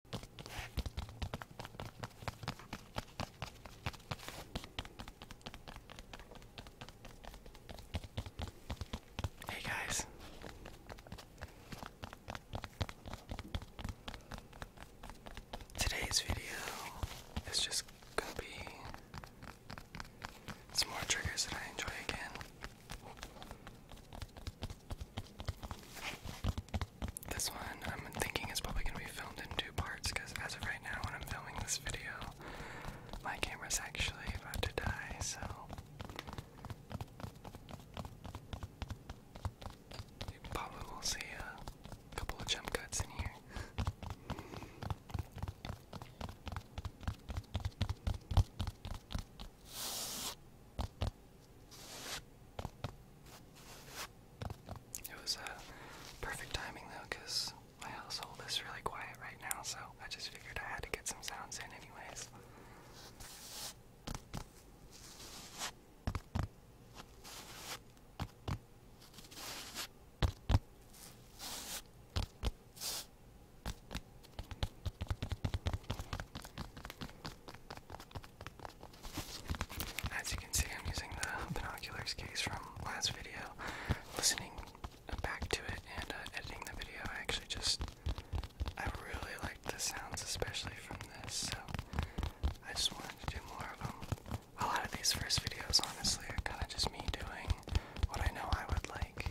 Hey guys. Today's video is just gonna be some more triggers that I enjoy again. This one I'm thinking is probably going to be filmed in two parts because as of right now, when I'm filming this video, my camera's actually about to die, so. You probably will see a couple of jump cuts in here. It was a perfect timing though, because my household is really quiet right now, so I just figured I had to get some sounds in, anyways. As you can see, I'm using the binoculars case from last video, listening back to it and uh, editing the video. I actually just, I really like the sounds, especially from this, so I just wanted to do more of them. A lot of these first videos, honestly, are kind of just me doing what I know I would like.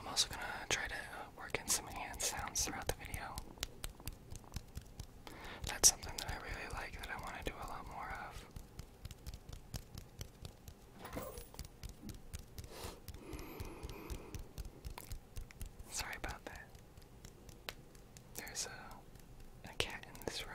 I'm also going to try to work in some hand sounds throughout the video. That's something that I really like that I want to do a lot more of. Sorry about that. There's a, a cat in this room.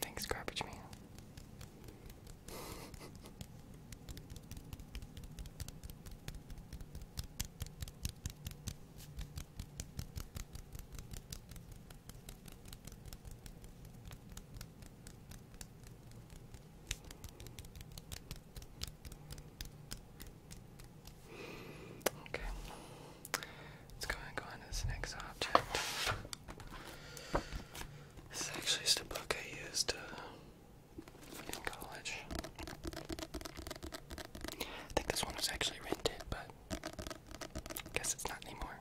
Thanks, garbage man. Okay, let's go and go on to this next object. This is actually just a book I used uh, in college. I think this one was actually rented, but Guess it's not anymore.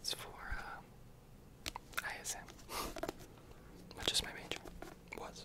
It's for uh, ISM, which is my major. Was.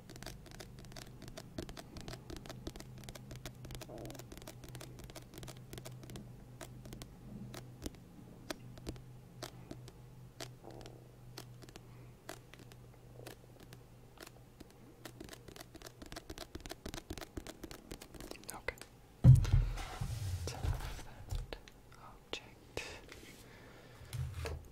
Okay. It's enough of that object.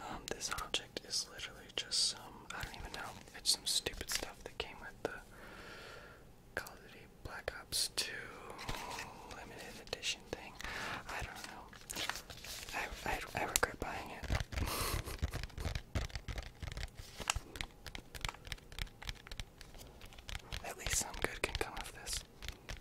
Um, this object is literally just some, I don't even know, it's some stupid stuff that came with the Call of Duty Black Ops 2 limited edition thing. I don't know. I, I regret buying it. At least some good can come of this.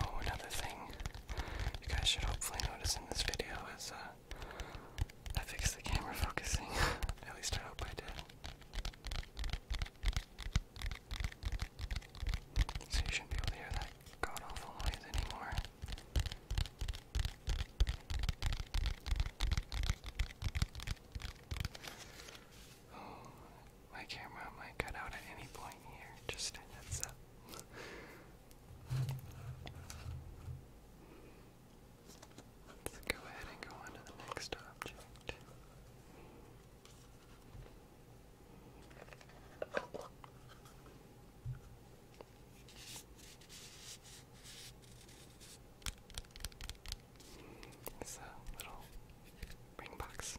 Oh, another thing you guys should hopefully notice in this video as uh, I fixed the camera focusing. At least I hope I did. So you shouldn't be able to hear that god noise anymore. Oh, my camera might cut out at any point here, just a heads up. Let's go ahead and go on to the next object. It's a little ring box.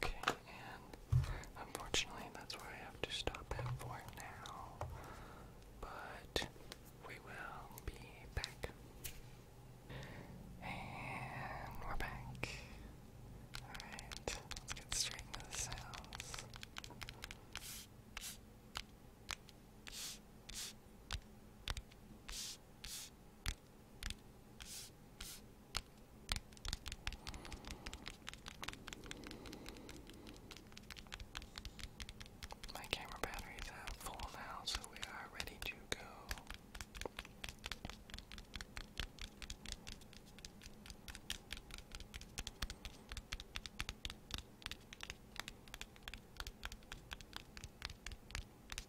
Okay, and unfortunately, that's where I have to stop it for now. But we will be back. And we're back. Alright, let's get straight into the sounds. My camera batteries are full now, so we are ready to go.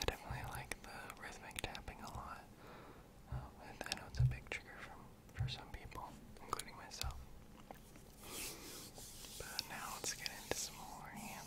I definitely like the rhythmic tapping a lot. Uh, and I know it's a big trigger from for some people, including myself. But now let's get into some more hand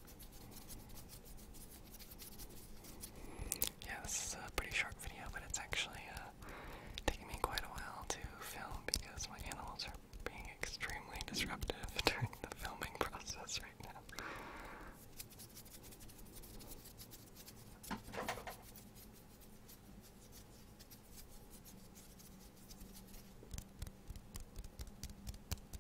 Yeah, this is a pretty short video, but it's actually uh, taking me quite a while to film because my animals are being extremely disruptive during the filming process right now.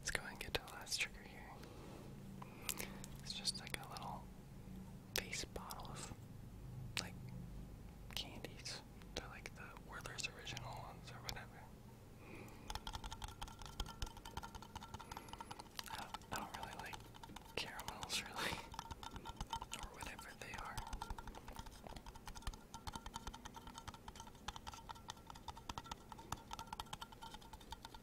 Let's go and get to the last trigger here. It's just like a little face bottle of like candies. They're like the Werther's original ones or whatever. I don't really like caramels, really, or whatever they are.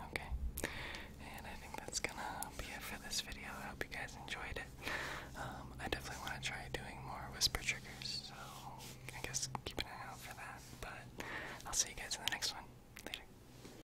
Okay, and I think that's gonna be it for this video. I hope you guys enjoyed it. Um, I definitely want to try doing more whisper triggers, so I guess keep an eye out for that. But I'll see you guys in the next one. Later.